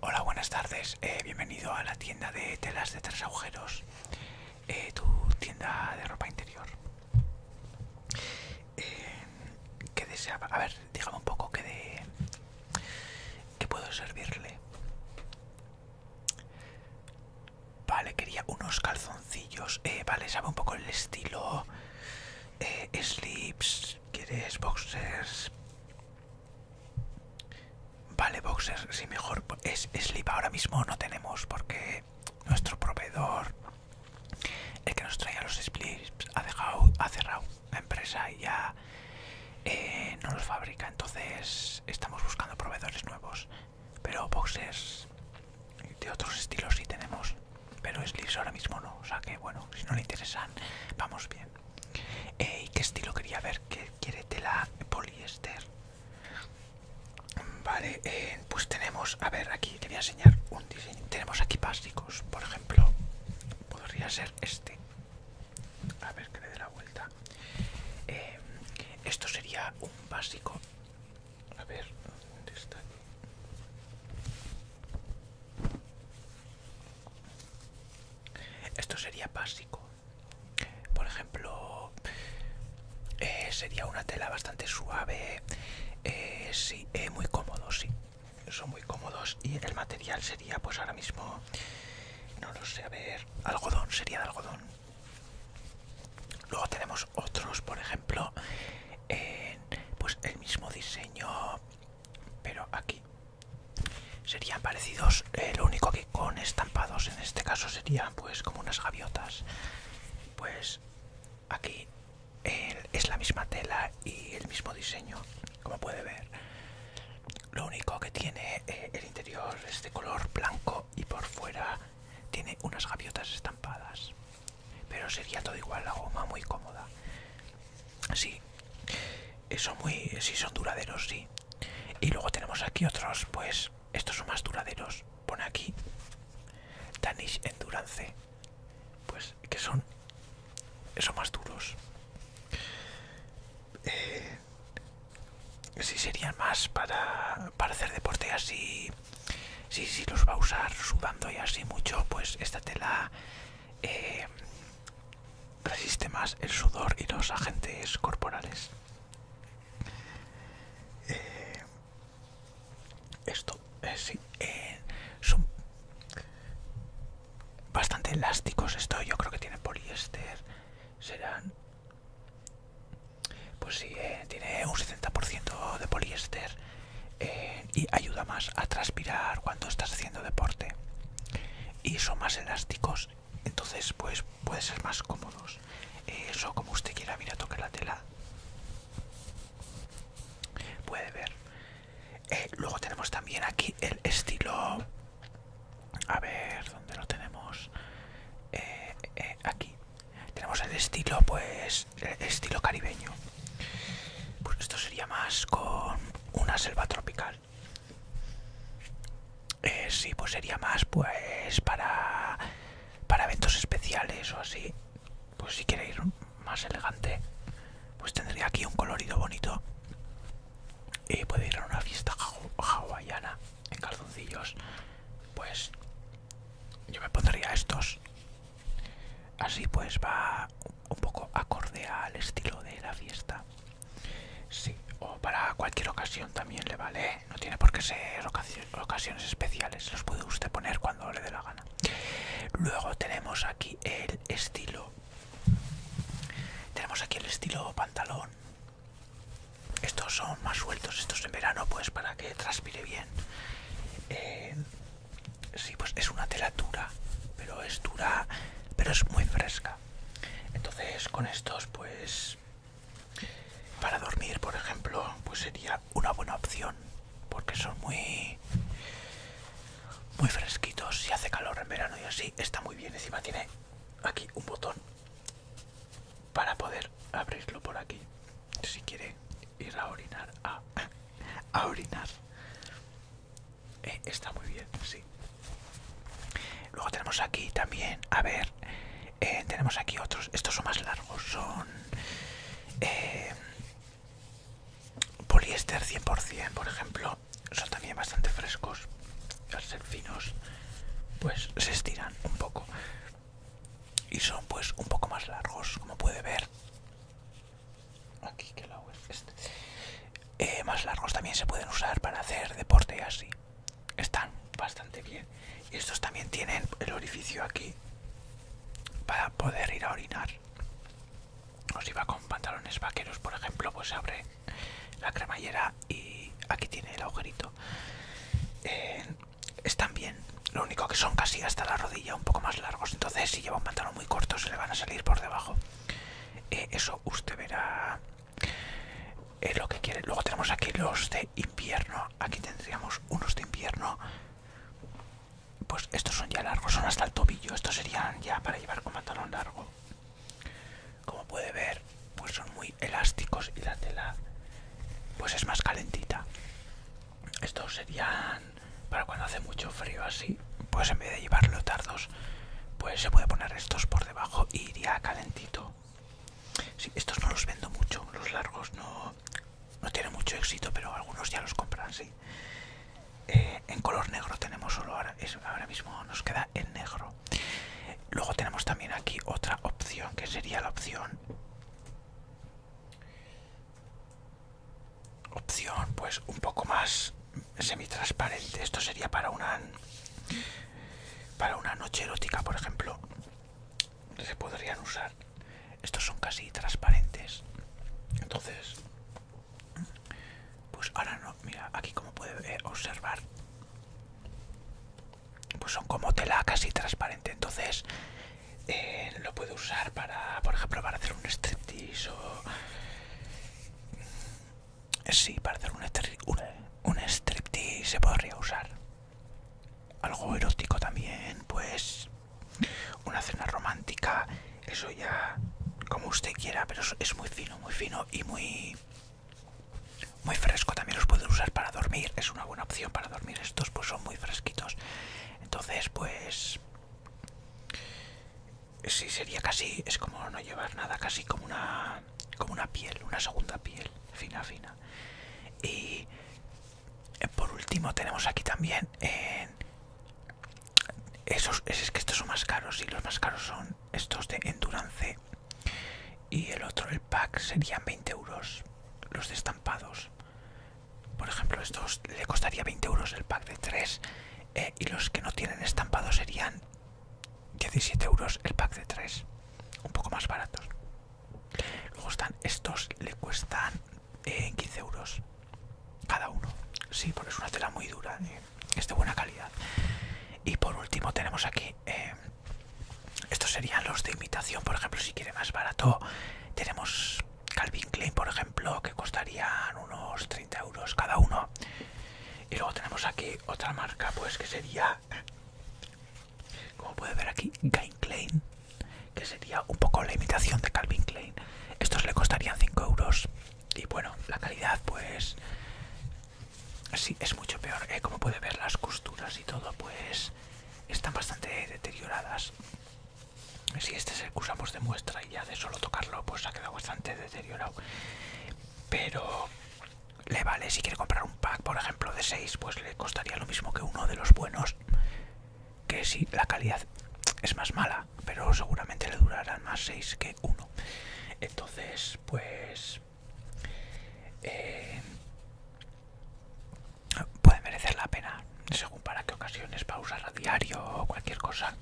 Hola, buenas tardes. Eh, bienvenido a la tienda de telas de tres agujeros, eh, tu tienda de ropa interior. Eh, ¿Qué desea? A ver, dígame un poco que de que puedo servirle vale quería unos calzoncillos eh, vale sabe un poco el estilo eh, slips quieres boxers vale boxers si mejor es slip ahora mismo no tenemos porque nuestro proveedor el que nos traía los slips ha dejado ha cerrado la empresa ya eh, no los fabrica. Entonces estamos buscando proveedores nuevos. Pero boxes de otros estilos sí tenemos. Pero Slips ahora mismo no. O sea que bueno, si no le interesan, vamos bien. Eh, ¿Y qué estilo quería ver? ¿Qué quiere tela poliéster? Vale, eh, pues tenemos, a ver, aquí te voy a enseñar un diseño. Tenemos aquí básicos, por ejemplo, podría ser este a ver que le dé la vuelta eh, esto sería un básico a ver dónde esto sería básico por ejemplo eh, sería una tela bastante suave eh, sí muy cómodo sí son muy cómodos y el material sería pues ahora mismo no lo sé a ver algodón sería de algodón luego tenemos otros por ejemplo en, pues el mismo diseño pero aquí serían parecidos eh, lo único que con estampados en este caso serían pues como unas gaviotas pues aquí es la misma tela y el mismo diseño, como puede ver. Lo único que tiene eh, el interior es de color blanco y por fuera tiene unas gaviotas estampadas. Pero sería todo igual, la goma muy cómoda. Sí, eso muy, sí son duraderos, sí. Y luego tenemos aquí otros, pues estos son más duraderos. Pone aquí Danish Endurance pues que son eso más duros eh, si serían más para, hacer deporte así si, si los va a usar sudando y así mucho pues esta tela eh, resiste más el sudor y los agentes corporales eh, esto es eh, sí, eh, son bastante elásticos esto yo creo que tiene poliéster serán pues sí eh, tiene un 70% de poliéster y ayuda más a transpirar cuando estás haciendo deporte y son más elásticos entonces pues puede ser más cómodos eso como usted quiera mira toque la tela puede ver eh, luego tenemos también aquí el estilo... A ver, ¿dónde lo tenemos? Eh, eh, aquí. Tenemos el estilo, pues, estilo caribeño. Pues esto sería más con una selva tropical. sí, pues sería más, pues, para, para eventos especiales o así pues si quiere ir más elegante pues tendría aquí un colorido bonito y puede ir a una fiesta hawaiana en calzoncillos pues yo me pondría estos así pues va un poco acorde al estilo de la fiesta sí o para cualquier ocasión también le vale ¿eh? no tiene por qué ser ocasión ocasiones especiales los puede usted poner cuando le dé la gana luego tenemos aquí el estilo tenemos aquí el estilo pantalón estos son más sueltos estos en verano pues para que transpire bien eh, sí pues es una tela dura pero es dura pero es muy fresca entonces con estos pues para dormir por ejemplo pues sería una buena opción porque son muy muy fresquitos y hace calor en verano y así está muy bien encima tiene aquí un botón para poder abrirlo por aquí si quiere ir a orinar a, orinar eh, está muy bien sí luego tenemos aquí también a ver eh, tenemos aquí otros estos son más largos son eh, poliéster 100%, por ejemplo, son también bastante frescos. Al ser finos, pues se estiran un poco y son pues un poco más largos, como puede ver. Este. Eh, más largos también se pueden usar para hacer deporte así. Están bastante bien. Estos también tienen el orificio aquí para poder ir a orinar. nos iba con pantalones vaqueros, por ejemplo, pues abre la cremallera y aquí tiene el agujerito. Eh, están bien, lo único que son casi hasta la rodilla, un poco más largos. Entonces, si lleva un pantalón muy corto, se le van a salir por debajo. Eh, eso usted verá es eh, lo que quiere. Luego tenemos aquí los de invierno. Aquí tendríamos unos de invierno. Pues estos son ya largos, son hasta el tobillo. Estos serían ya para llevar con pantalón largo. Como puede ver, pues son muy elásticos y la tela pues es más calentita. Estos serían para cuando hace mucho frío así. Pues en vez de llevar tardos pues se puede poner estos por debajo y iría calentito. Sí, estos no los vendo mucho, los largos no, no tienen mucho éxito, pero algunos ya los compran, sí. Eh, en color negro tenemos solo ahora, ahora mismo nos queda el negro. Luego tenemos también aquí otra opción, que sería la opción... Opción pues un poco más semitransparente. Esto sería para una, para una noche erótica, por ejemplo se podrían usar estos son casi transparentes entonces pues ahora no mira aquí como puede eh, observar pues son como tela casi transparente entonces eh, lo puedo usar para por ejemplo para hacer un striptease o eh, sí para hacer un, un, un striptease se podría usar algo erótico también, pues una cena romántica, eso ya como usted quiera, pero es muy fino, muy fino y muy muy fresco. También los puedo usar para dormir, es una buena opción para dormir. Estos pues son muy fresquitos, entonces pues sí sería casi es como no llevar nada, casi como una como una piel, una segunda piel fina fina y eh, por último tenemos aquí también esos es que estos son más caros y los más caros son estos de endurance y el otro el pack serían 20 euros los de estampados por ejemplo estos le costaría 20 euros el pack de 3 eh, y los que no tienen estampado serían 17 euros el pack de 3 un poco más baratos luego están estos le cuestan 15 eh, euros cada uno sí porque es una tela muy dura eh, es de buena calidad y por último tenemos aquí eh, estos serían los de imitación por ejemplo si quiere más barato tenemos Calvin Klein por ejemplo que costarían unos 30 euros cada uno y luego tenemos aquí otra marca pues que sería como puede ver aquí, Gain Klein, que sería un poco la imitación de Calvin Klein. Estos le costarían 5 euros. Y bueno, la calidad, pues. Sí, es mucho peor. ¿eh? Como puede ver, las costuras y todo, pues. Están bastante deterioradas. Si este es el que usamos de muestra y ya de solo tocarlo, pues ha quedado bastante deteriorado. Pero le vale si quiere comprar un pack por ejemplo de 6 pues le costaría lo mismo que uno de los buenos que si la calidad es más mala pero seguramente le durarán más 6 que 1 entonces pues eh, puede merecer la pena según para qué ocasiones para usar a diario o cualquier cosa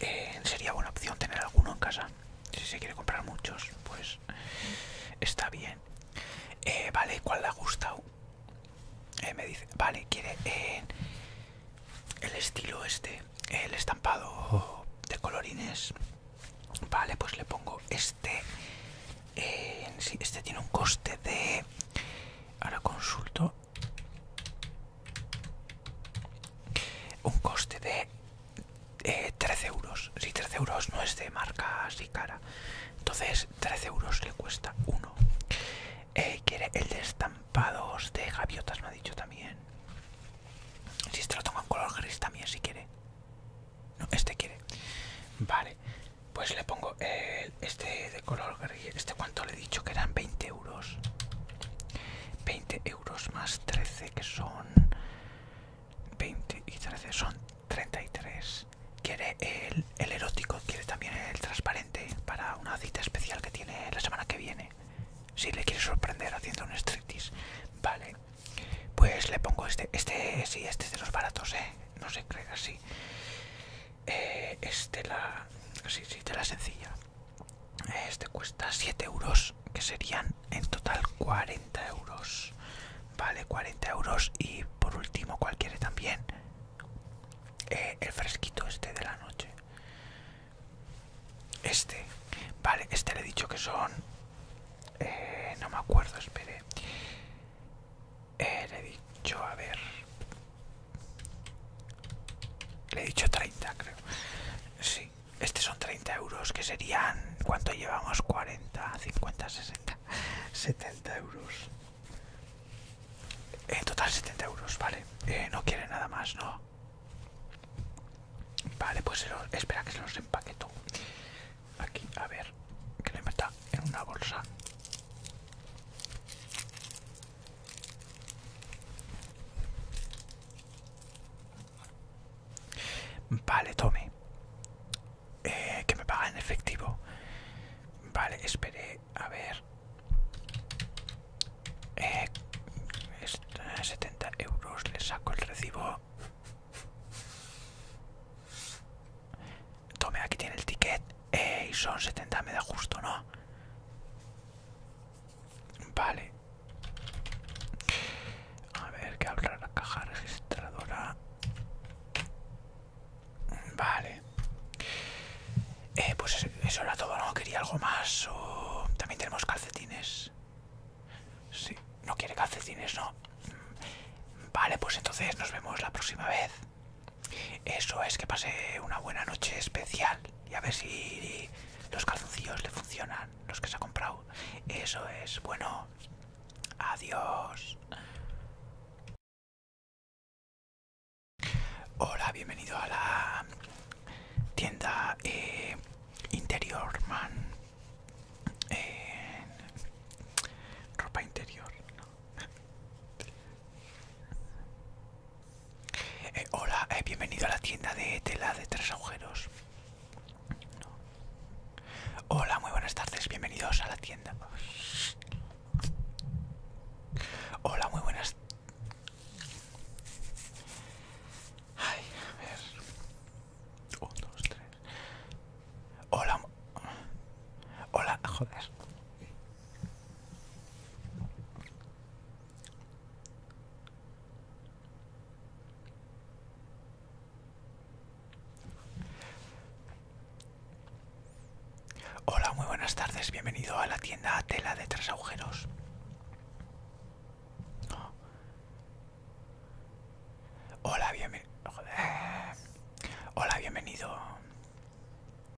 eh, sería buena opción tener alguno en casa si se quiere comprar muchos pues está bien eh, vale cuál le ha gustado eh, me dice vale quiere el estilo este el estampado de colorines vale pues le pongo este este tiene un coste de ahora consulto un coste de 13 eh, euros. Si 13 euros no es de marca así cara. Entonces 13 euros le cuesta uno. Eh, quiere el de estampados de gaviotas, me ha dicho también. Si este lo tengo en color gris también, si quiere. No, este quiere. Vale, pues le pongo este de color gris. ¿Este cuánto le he dicho? Que eran 20 euros. 20 euros euros más 13 que son 20 y 13 son 33 quiere el, el erótico quiere también el transparente para una cita especial que tiene la semana que viene si le quiere sorprender haciendo un striptease vale pues le pongo este este sí este es de los baratos ¿eh? no se cree así eh, este la sí de la sencilla este cuesta 7 euros, que serían en total 40 euros. Vale, 40 euros. Y por último, cualquiera también. Eh, el fresquito este de la noche. Este. Vale, este le he dicho que son... Eh, no me acuerdo, espere. Eh, le he dicho, a ver... Le he dicho 30, creo. Sí. Este son 30 euros, que serían... ¿Cuánto llevamos? 40, 50, 60, 70 euros. En total 70 euros, vale. Eh, no quiere nada más, ¿no? Vale, pues espera que se los empaqueto. Aquí, a ver, que le meta en una bolsa. Vale, tome. Eh, que me paga en efectivo. Vale, esperé. A ver. 70 eh, euros. Le saco el recibo. Tome, aquí tiene el ticket. y son 70, me da justo, ¿no? Vale. A ver, que abra la caja registradora. Vale. Eh, pues eso era todo, ¿no? Quería algo más. O... También tenemos calcetines. si no quiere calcetines, ¿no? Vale, pues entonces nos vemos la próxima vez. Eso es que pase una buena noche especial y a ver si los calzoncillos le funcionan, los que se ha comprado. Eso es, bueno, adiós. Hola, bienvenido a la tienda eh, Interior Man. Eh, ropa interior. Eh, hola, eh, bienvenido a la tienda de tela de tres agujeros. Hola, muy buenas tardes, bienvenidos a la tienda. Hola, muy buenas. Ay, a ver. Un, dos, tres. Hola. Hola, joder. Hola, muy buenas tardes. Bienvenido a la tienda Tela de Tres Agujeros. Hola, bienvenido. Hola, bienvenido.